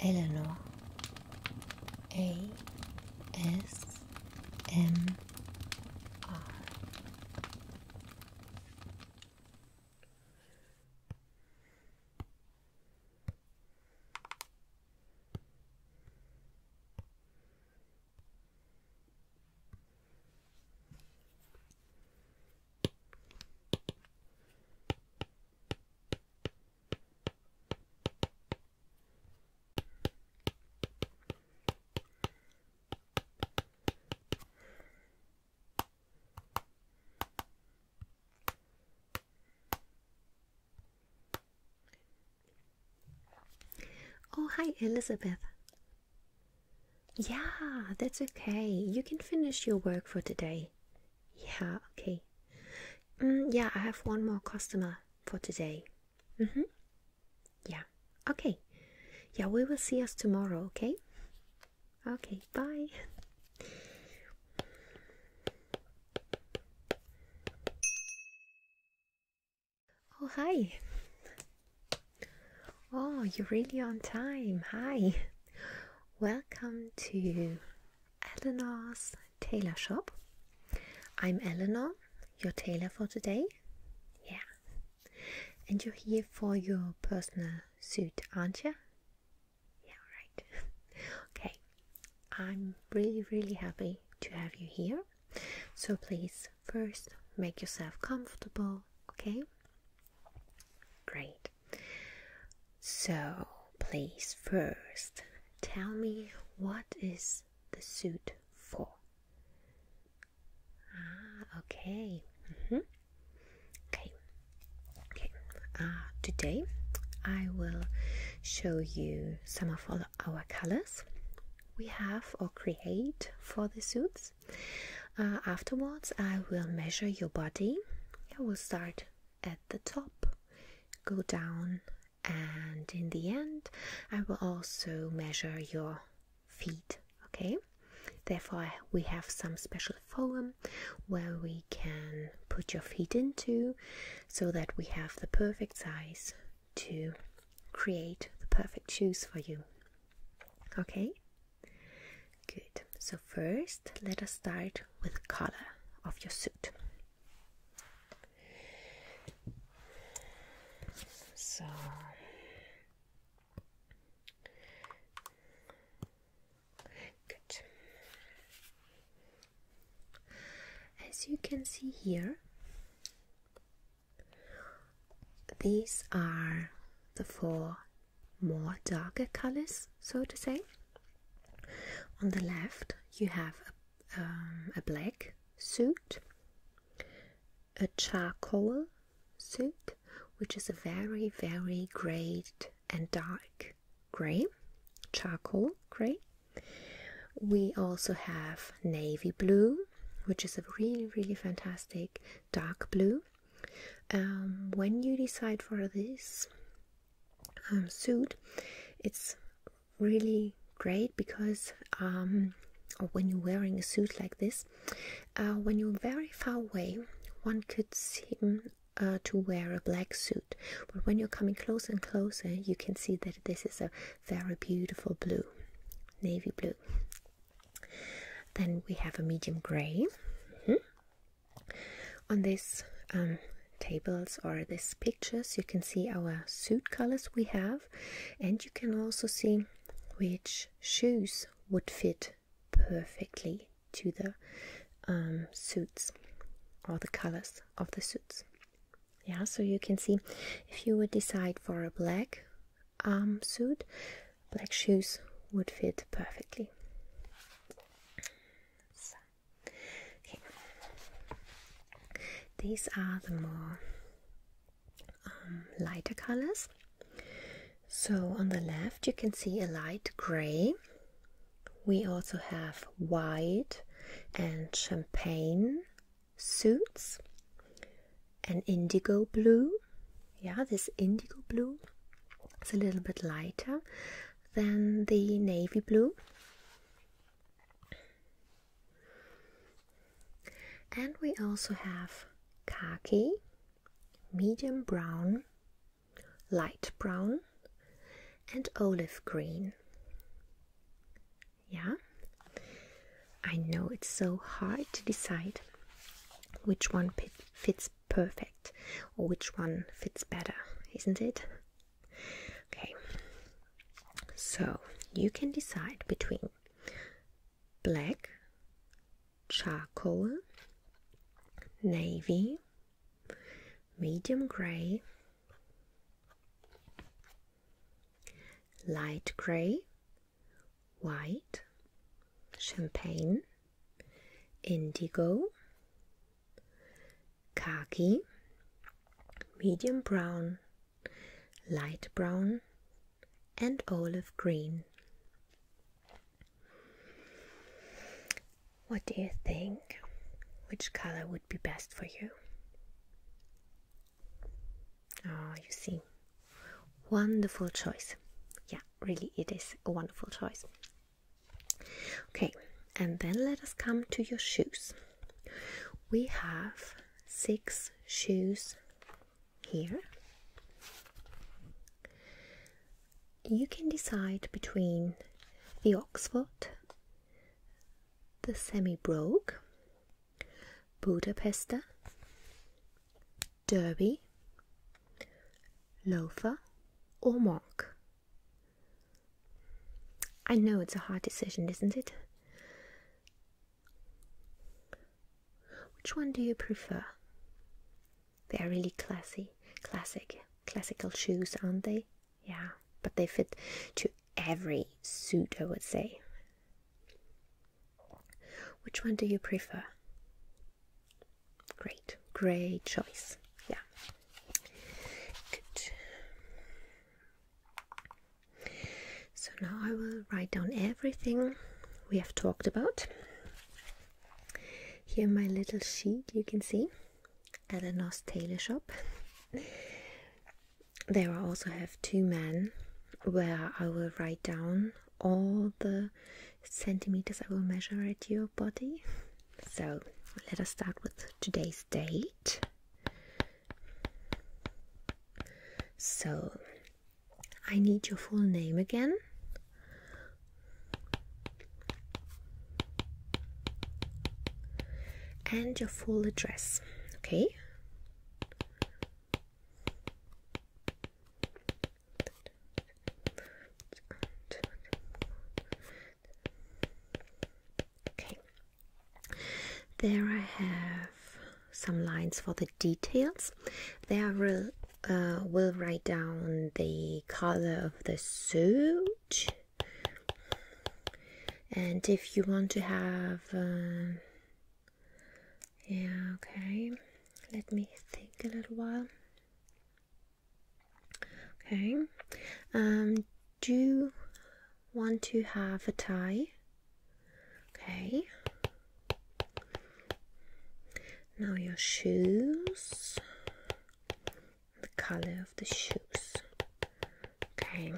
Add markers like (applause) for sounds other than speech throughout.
Eleanor A S M R Oh, hi, Elizabeth. Yeah, that's okay. You can finish your work for today. Yeah, okay. Mm, yeah, I have one more customer for today. Mm hmm. Yeah, okay. Yeah, we will see us tomorrow, okay? Okay, bye. Oh, hi. Oh, you're really on time. Hi. Welcome to Eleanor's Tailor Shop. I'm Eleanor, your tailor for today. Yeah. And you're here for your personal suit, aren't you? Yeah, right. (laughs) okay. I'm really, really happy to have you here. So please, first, make yourself comfortable, okay? Great. So, please first tell me what is the suit for? Ah, okay. Mm-hmm. Okay. Okay. Uh, today I will show you some of all our colors we have or create for the suits. Uh, afterwards, I will measure your body. I will start at the top, go down, and in the end, I will also measure your feet. Okay, therefore, we have some special foam where we can put your feet into so that we have the perfect size to create the perfect shoes for you. Okay, Good. So first, let us start with color of your suit. So good. As you can see here, these are the four more darker colors, so to say. On the left, you have a, um, black suit, a charcoal suit, which is a very, very great and dark grey, charcoal grey. We also have navy blue, which is a really, really fantastic dark blue. Um, when you decide for this um, suit, it's really great because um, when you're wearing a suit like this, uh, when you're very far away, one could seem uh, to wear a black suit, but when you're coming closer and closer, you can see that this is a very beautiful blue, navy blue. Then we have a medium gray. Hmm? On these um, tables or these pictures, you can see our suit colors we have, and you can also see which shoes would fit perfectly to the um, suits or the colors of the suits. Yeah, so you can see if you would decide for a black Arm um, suit. Black shoes would fit perfectly. These are the more um, lighter colors. So on the left you can see a light grey. We also have white and champagne suits an indigo blue. Yeah, this indigo blue is a little bit lighter than the navy blue. And we also have khaki, medium brown, light brown, and olive green. Yeah, I know it's so hard to decide which one fits perfect or which one fits better, isn't it? Okay, so you can decide between black, charcoal, navy, medium grey, light grey, white, champagne, indigo, khaki, medium brown, light brown, and olive green. What do you think? Which color would be best for you? Oh, you see. Wonderful choice. Yeah, really, it is a wonderful choice. Okay, and then let us come to your shoes. We have six shoes here. You can decide between the Oxford, the Semi Brogue, Budapester, Derby, Loafer, or Monk? I know it's a hard decision, isn't it? Which one do you prefer? They are really classy, classic, classical shoes, aren't they? Yeah, but they fit to every suit, I would say. Which one do you prefer? Great, great choice. Yeah. Good. So now I will write down everything we have talked about. Here, my little sheet you can see at a nice tailor shop. There, I also have two men where I will write down all the centimeters I will measure at your body. So let us start with today's date. So I need your full name again. And your full address, okay? Okay. There I have some lines for the details. There will, uh, will write down the color of the suit. And if you want to have uh, yeah, okay. Let me think a little while. Okay. Um, do you want to have a tie? Okay. Now your shoes. The color of the shoes. Okay.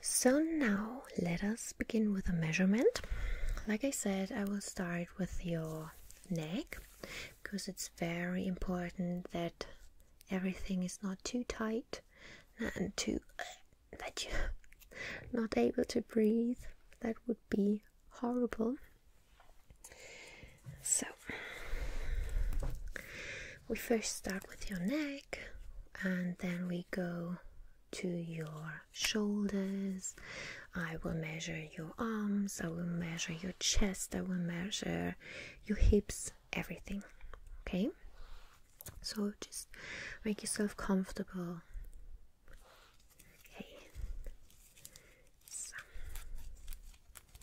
So now let us begin with a measurement. Like I said, I will start with your neck because it's very important that everything is not too tight and too (coughs) that you're (laughs) not able to breathe. That would be horrible. So we first start with your neck and then we go to your shoulders. I will measure your arms, I will measure your chest, I will measure your hips, everything. Okay? So just make yourself comfortable. Okay.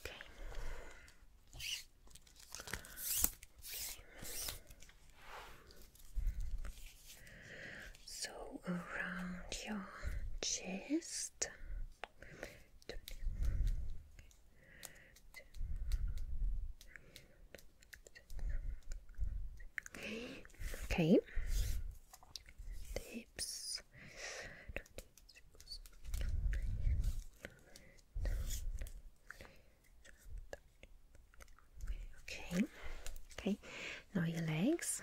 Okay. So around your chest. Okay. Okay, okay, now your legs.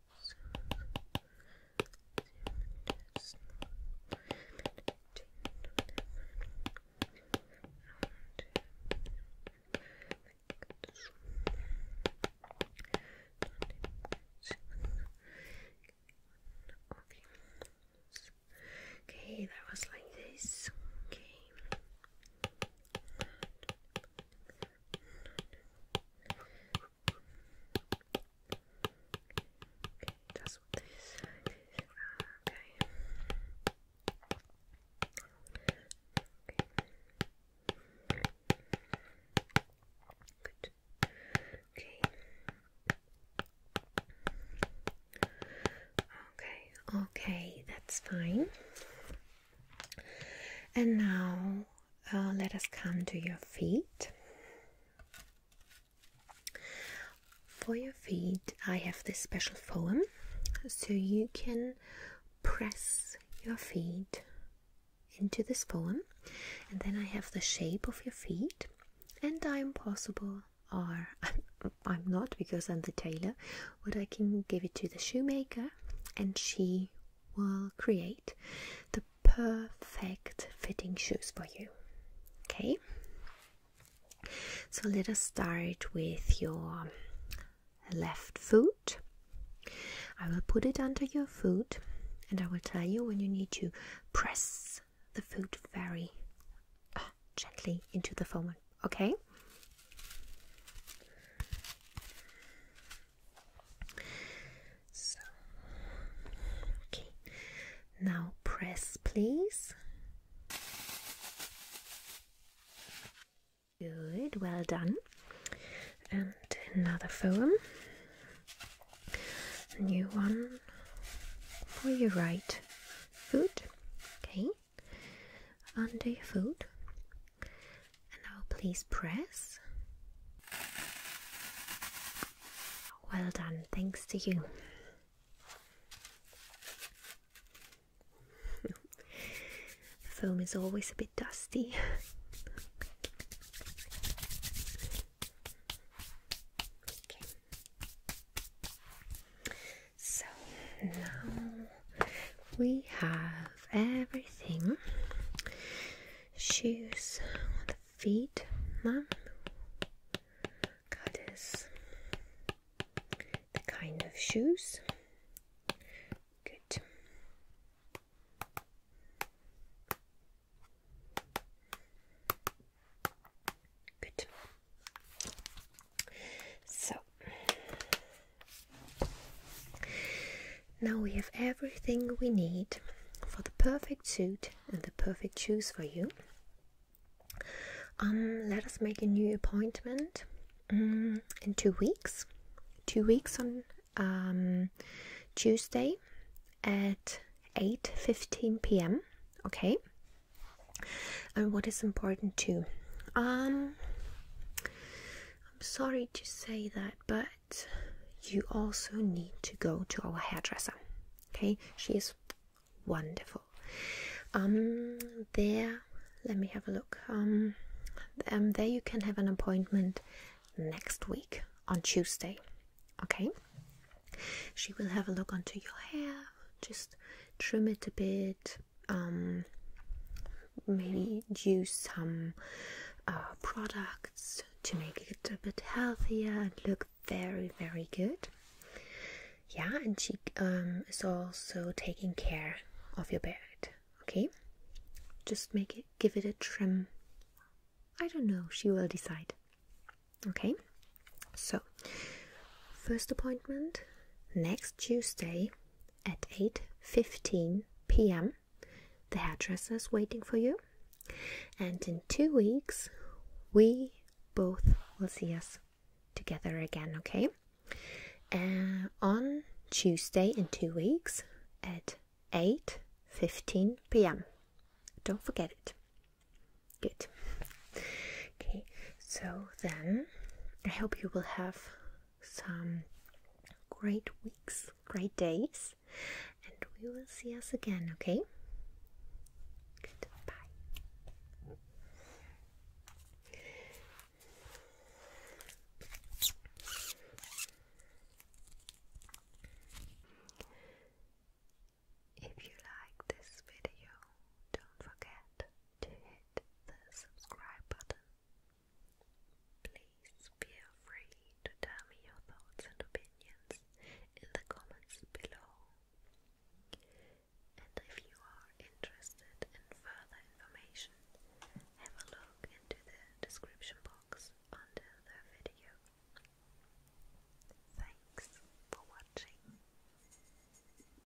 Okay, that was like this. Okay that's Okay. Okay. Okay. Okay, okay, that's fine. And now uh, let us come to your feet. For your feet, I have this special foam so you can press your feet into this foam, and then I have the shape of your feet, and I'm possible, or (laughs) I'm not because I'm the tailor, what I can give it to the shoemaker, and she will create the perfect fitting shoes for you. Okay, so let us start with your left foot. I will put it under your foot and I will tell you when you need to press the foot very uh, gently into the foam okay? So, okay, now press, please. Good, well done. And another foam, new one for your right food. okay under your foot, and now please press. Well done, thanks to you. (laughs) the foam is always a bit dusty. (laughs) So now we have everything shoes on the feet, mum. Cutters, the kind of shoes. Good. Good. So now we have everything we need for the perfect suit and the perfect shoes for you. Um, let us make a new appointment mm, in two weeks. Two weeks on um, Tuesday at 8:15 p.m. Okay. And what is important too? Um, I'm sorry to say that, but you also need to go to our hairdresser. Okay, she is wonderful. Um, there, let me have a look. Um, um, there you can have an appointment next week on Tuesday. Okay, she will have a look onto your hair, just trim it a bit, um, maybe use some uh, products to make it a bit healthier and look very, very good. Yeah, and she um, is also taking care of your beard. Okay, just make it, give it a trim. I don't know. She will decide. Okay, so first appointment next Tuesday at 8.15 p.m. The hairdresser is waiting for you. And in two weeks, we both will see us together again, okay? Uh, on Tuesday in two weeks at 8.15 p.m. Don't forget it. Good. Okay, so then, I hope you will have some great weeks, great days, and we will see us again, okay? Goodbye. If you like this video, don't forget to hit hit the subscribe button. Please feel free to tell me your thoughts and opinions in the comments below. And if you are interested in further information, have a look into the description box under the video. Thanks for watching.